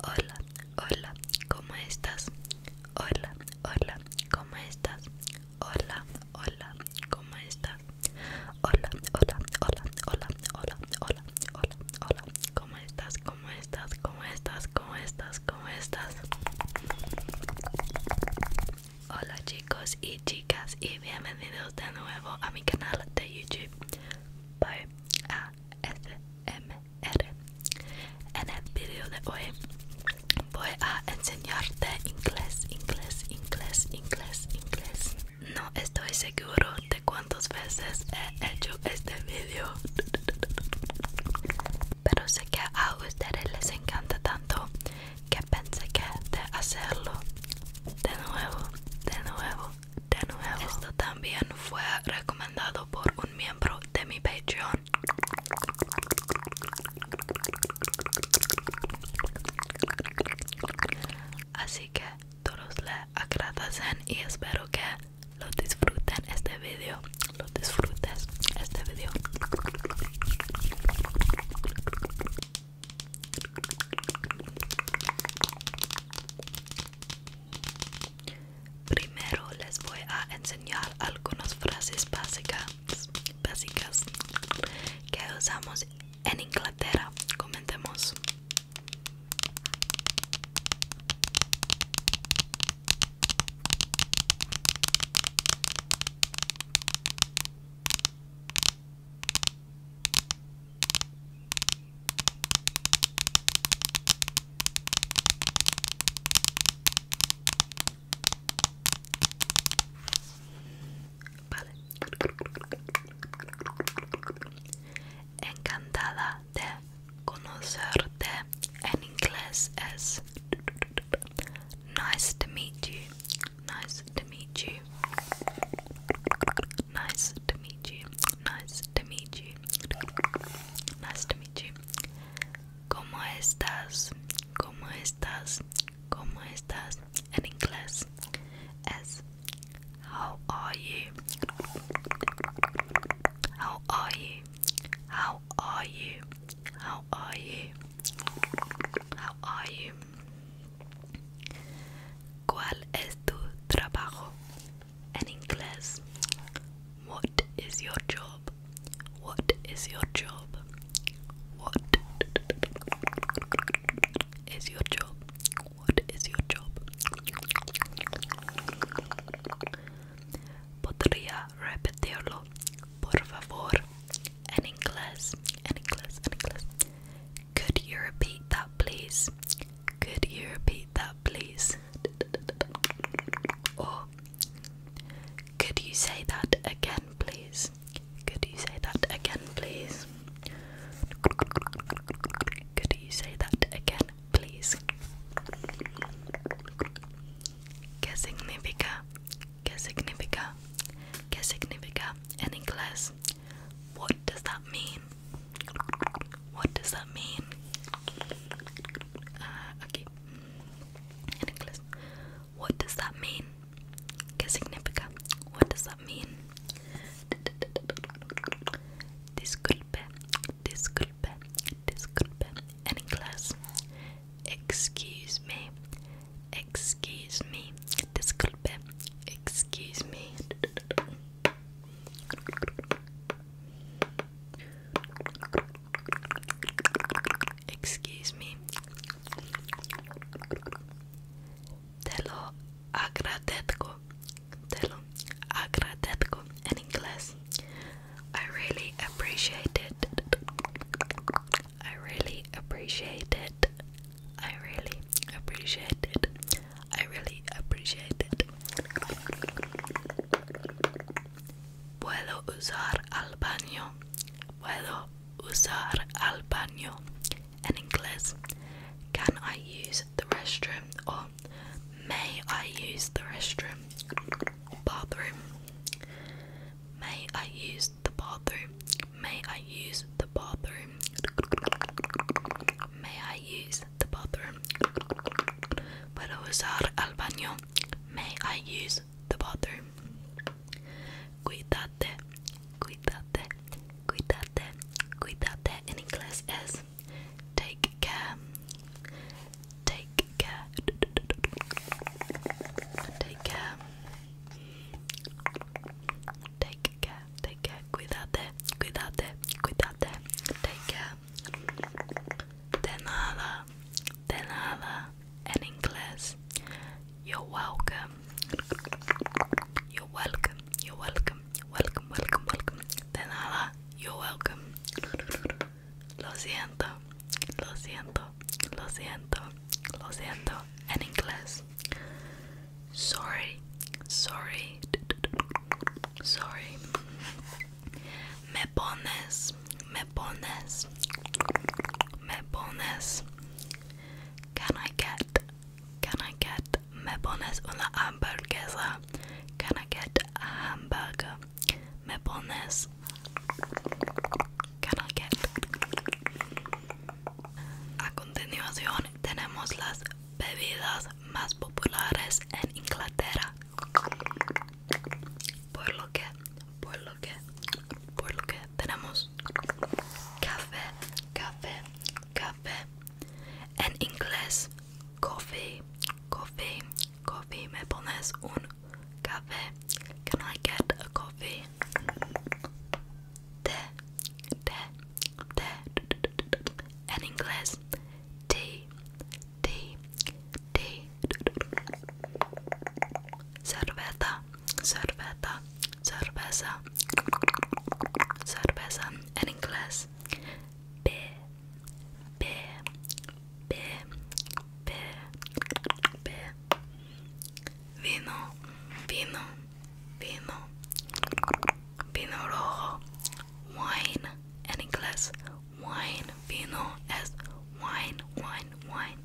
Hola, hola, ¿cómo estás? Hola, hola, ¿cómo estás? Hola, hola, ¿cómo estás? Hola, hola, hola, hola, hola, hola, hola, hola, ¿cómo estás? ¿Cómo estás? ¿Cómo estás? ¿Cómo estás? ¿Cómo estás? Hola chicos y chicas y bienvenidos de nuevo a mi canal de YouTube M R En el video de hoy Voy a enseñarte inglés, inglés, inglés, inglés, inglés. No estoy seguro de cuántas veces he hecho este vídeo. Pero sé que a ustedes les encanta tanto que pensé que de hacerlo de nuevo, de nuevo, de nuevo. Esto también fue recomendado por un miembro de mi Patreon Así que todos le agradecen y espero que lo disfruten este video. Lo disfrutes este video. Primero les voy a enseñar algunas frases básicas básicas que usamos en Inglaterra. Comentemos. Vale. Encantada de conocerte. En inglés es nice to meet you. Nice to meet you. Nice to meet you. Nice to meet you. Nice to meet you. ¿Cómo estás? ¿Cómo estás? ¿Cómo estás? En inglés es How are you? How are you? How are you? How are you? How are you? ¿Cuál es tu trabajo? En inglés What is your job? What is your job? What is your job? What is your job? Could you repeat that, please? Could you repeat that, please? Could you say that again, please? Could you say that again, please? Could you say that again, please? ¿Qué significa? ¿Qué significa? ¿Qué significa in English? What does that mean? What does that mean? Uh, ah, okay. In English. What does that mean? Que significa? What does that mean? Disculpe, disculpe, disculpe. And in excuse me, excuse me, disculpe, excuse me. Excuse me, Te lo agradezco. Te lo agradezco in English. I really appreciate it. I really appreciate it. I really appreciate it. I really appreciate it. Puedo usar al baño. Puedo usar al baño? In English, can I use the restroom or may I use the restroom? Bathroom. May I use the bathroom? May I use the bathroom? May I use the bathroom? Para usar al baño. May I use the bathroom. Cuidate, cuidate, cuidate, cuidate in English is take care, take care, take care, take care, take care, cuidate, cuidate, cuidate, take care. De nada, de nada, in English, you You're welcome. You're welcome. You're welcome. Welcome, welcome, welcome. De You're welcome. Lo siento. Lo siento. Lo siento. Lo siento. En inglés. Sorry. Sorry. Sorry. Me pones. me pones, me pones. Can I get, can I get, me pones una hamburguesa? Can I get a hamburger? Me pones, can I get. A continuación tenemos las bebidas más populares en Inglaterra. Por lo que, por lo lo por lo que tenemos café café café en inglés coffee coffee coffee me pones un café can I get a coffee té té té en inglés tea tea tea Cerveza, cerveza, cerveza, cerveza en inglés. B, B, B, B, B. Vino, vino, vino, vino rojo. Wine en inglés. Wine, vino es wine, wine, wine.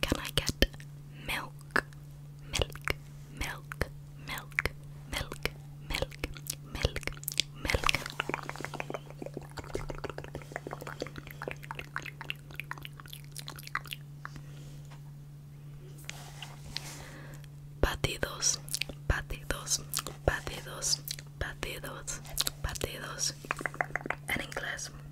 Can I get milk? Milk, milk, milk, milk, milk, milk, milk. Batidos, batidos, batidos, batidos, batidos. En inglés.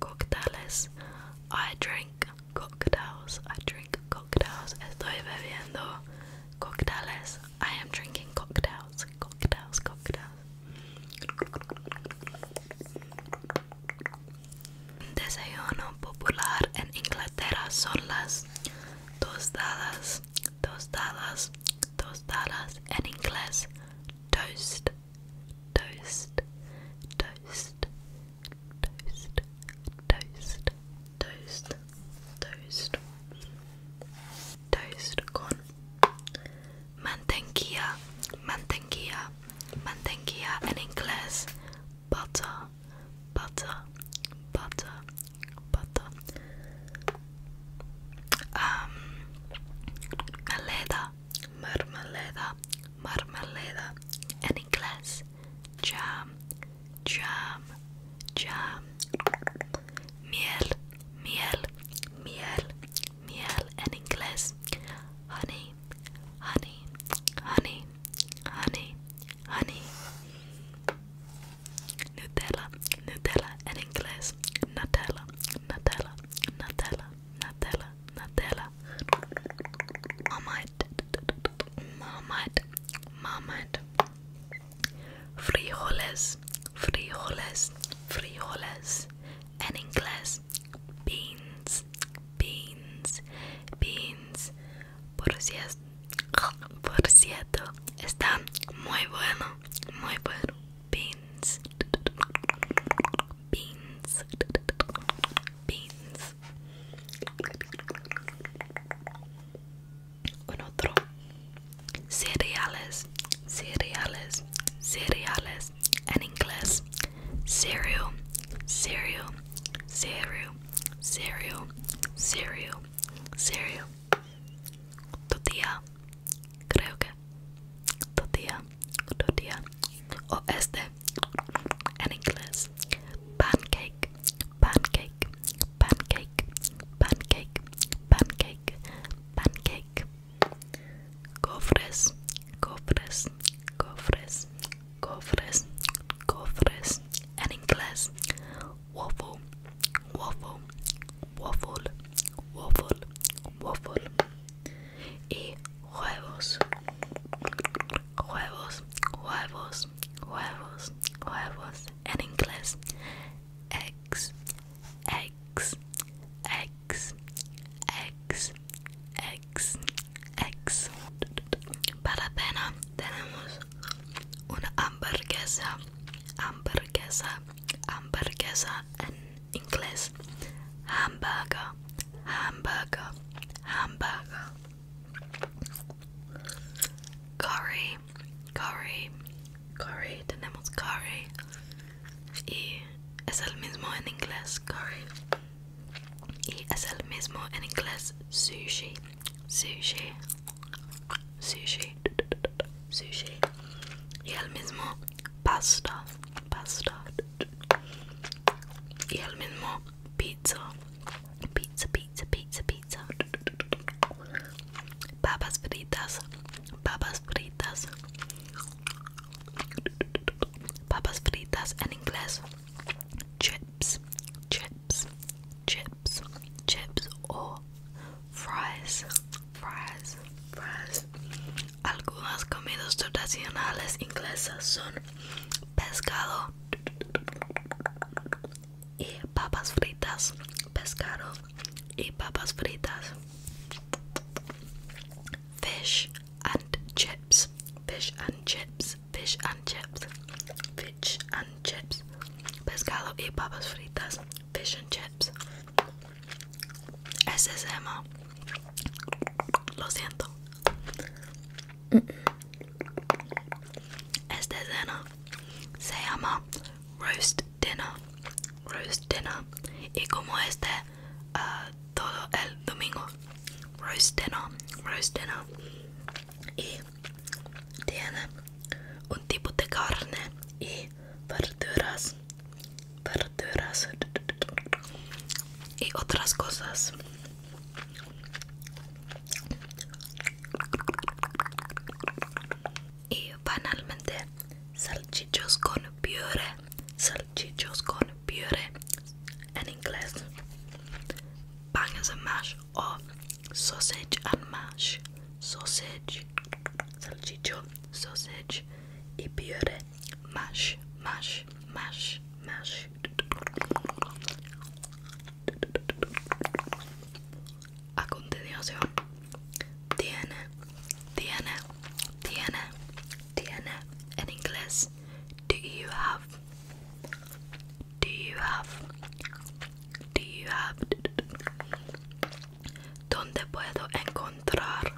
cócteles. I drink cocktails. I drink cocktails. Estoy bebiendo cócteles. I am drinking cocktails. Cocktails, cocktails. Desayuno popular en Inglaterra son las tostadas, tostadas, tostadas en inglés, toast, toast, toast, toast, toast, toast, toast, toast con mantequilla, mantequilla, mantequilla en inglés, butter, butter, butter, butter. Um, marmalada, marmalada, marmalada en inglés, jam, jam, jam, miel, miel, miel, miel en inglés, honey, honey, honey, honey, honey, Nutella, Nutella en inglés, Nutella, Nutella, Nutella, Nutella, Nutella. Marmite, marmite, marmite. Frijoles, frijoles, frijoles. En inglés, beans, beans, beans. Por cierto, por cierto, está muy bueno, muy bueno. Beans beans, beans. Un cereales, cereales, cereales. En inglés, cereal, cereal, cereal, cereal, cereal, cereal. Tortilla, creo que tortilla, tortilla, o este, en inglés, pancake, pancake, pancake, pancake, pancake, pancake, cofres, cofres, cofres, cofres, cofres, en inglés, waffle, waffle, waffle, waffle, waffle. y huevos huevos huevos huevos huevos en inglés eggs eggs eggs eggs eggs eggs para pena tenemos una hamburguesa hamburguesa hamburguesa en inglés hamburger hamburger hamburger curry curry curry tenemos curry y es el mismo en inglés curry y es el mismo en inglés sushi sushi sushi sushi y el mismo pasta Pasta, Y el mismo pizza. Pizza, pizza, pizza, pizza. Papas fritas. Papas fritas. Papas fritas en inglés. Chips, chips, chips, chips or fries, fries, fries. Algunas comidas tradicionales inglesas son pescado y papas fritas, pescado y papas fritas, fish and chips, fish and chips, fish and chips, fish and chips, pescado y papas fritas, fish and chips. Ese es Lo siento, este cena se llama roast dinner, roast dinner, y como este ah, todo el domingo, roast dinner, roast dinner, y tiene un tipo de carne y verduras verduras y otras cosas y banalmente salchichos con puré salchichos con puré en inglés bangers and mash o sausage and mash sausage salchicho sausage y puré mash, mash, mash, mash. A continuación, tiene, tiene, tiene, tiene en inglés. Do you have? Do you have? Do you have? ¿Dónde puedo encontrar?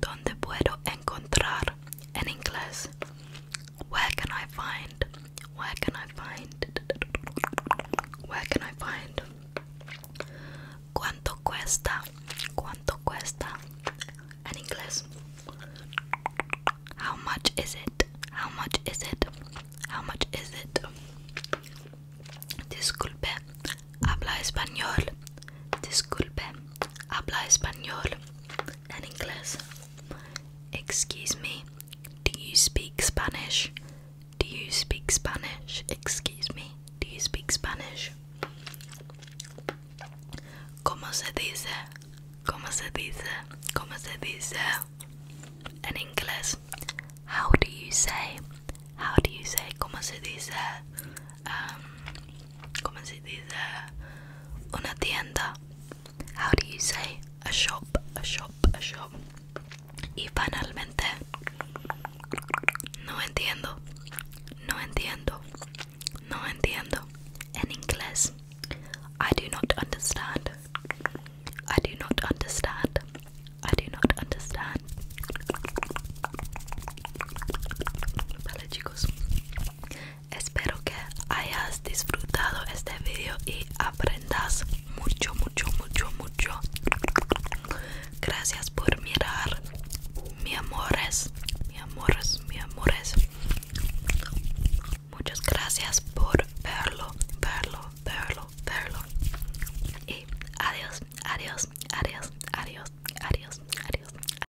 ¿Dónde puedo encontrar? En inglés. Where can I find? Where can I find? Where can I find? ¿Cuánto cuesta? ¿Cuánto cuesta? En inglés. How much is it? How much is it? How much is it? Disculpe, habla español. Disculpe, habla español. In English, Excuse me. Do you speak Spanish? Do you speak Spanish? Excuse me. Do you speak Spanish? ¿Cómo se dice? ¿Cómo se dice? ¿Cómo se dice? En inglés. How do you say? How do you say? ¿Cómo se dice? Um, ¿cómo se dice? Una tienda. How do you say? A shop, a shop, a shop. Y finalmente, no entiendo, no entiendo, no entiendo. En inglés, I do not understand. I do not understand. I do not understand. Vale chicos, Espero que hayas disfrutado este video y aprendas mucho, mucho, mucho, mucho. Gracias por mirar, mi amores, mi amores, mi amores. Muchas gracias por verlo, verlo, verlo, verlo. Y adiós, adiós, adiós, adiós, adiós, adiós.